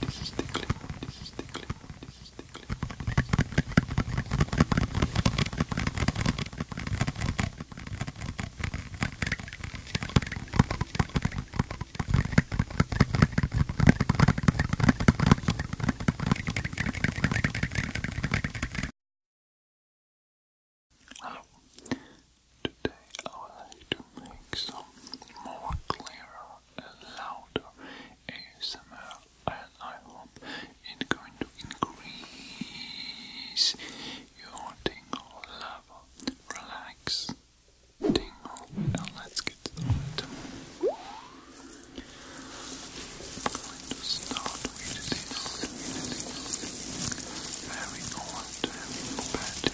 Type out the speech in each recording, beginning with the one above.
This is Today I would like to make some more clearer louder ASMR and I hope it's going to increase your dingle level. Relax, tingle, and let's get started. I'm going to start with this very old pattern.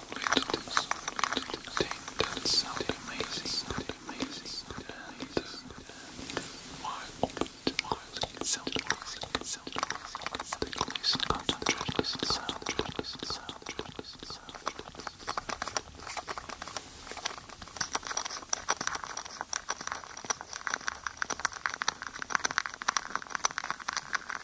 into this, into this thing that is not amazing, not amazing, and uh, why open to mind itself, itself, take listen, concentrate, listen, concentrate, listen, concentrate, listen, concentrate. Thank you.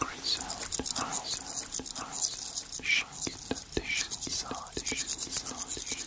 Great sound. Great sound. Shake it. Dish inside. Dish inside. Great sound.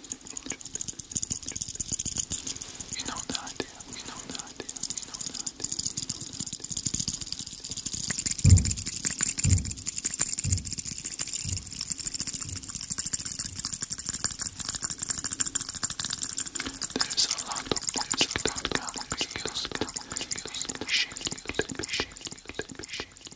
you know the idea, you know the idea, you know the idea, you know the idea. There's a lot of things that come with you, come with you, let me shake you, let me shake you, let me shake you.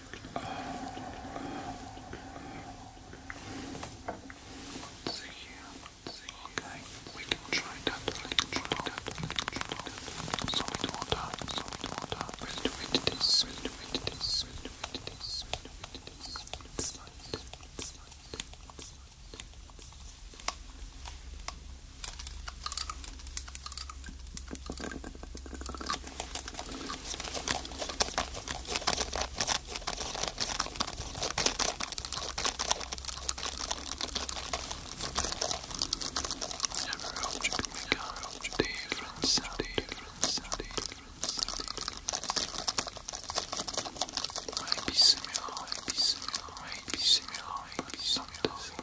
So yeah, so okay, we can try that, we can try that, we can try that. Solid water, solid water. We'll do it this, we'll do it this, we'll do it this, we'll do it this. It's light, it's light, it's light. Several different Saudi, different Saudi, different Saudi. Might be similar, might be similar, might be similar, might be similar.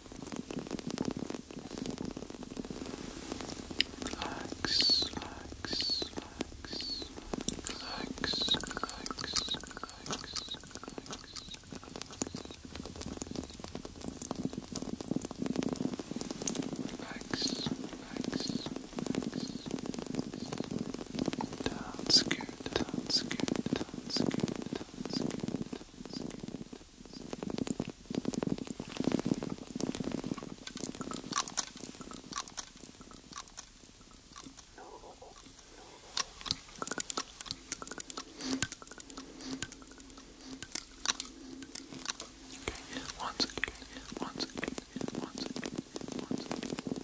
Relax, relax, relax, relax, relax, relax, relax, relax, relax. That's good, that's good, that's good, that's good. Once again, once again, once again, once again, once again.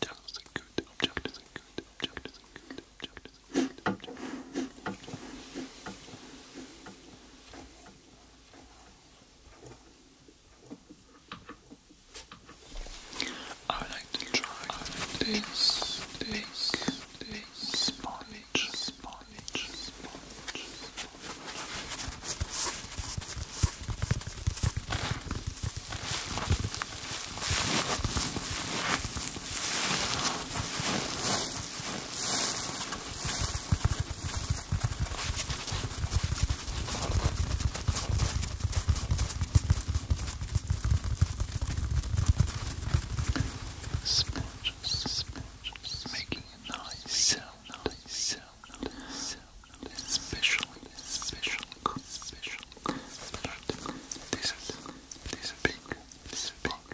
Just a good object is a good object is a good object is a good object. I like to try this, this, this, sponge, sponge, sponge. Sponge, sponge, making a nice sound, nice sound, sound, especially, especially, especially, especially. This is, this is big, this is big,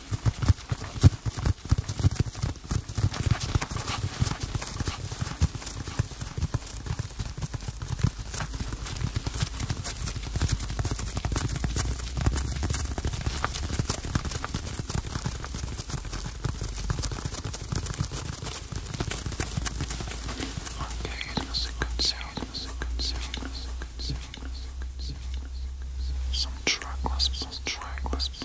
That's a good sound, that's a good sound, that's a good sound, that's a good sound, that's a good sound. Some track wasp, some track wasp.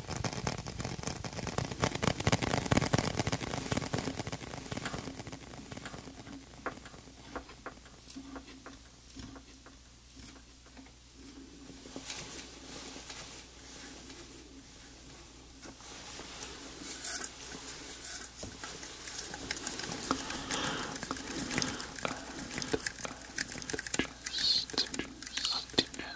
And, and just, just,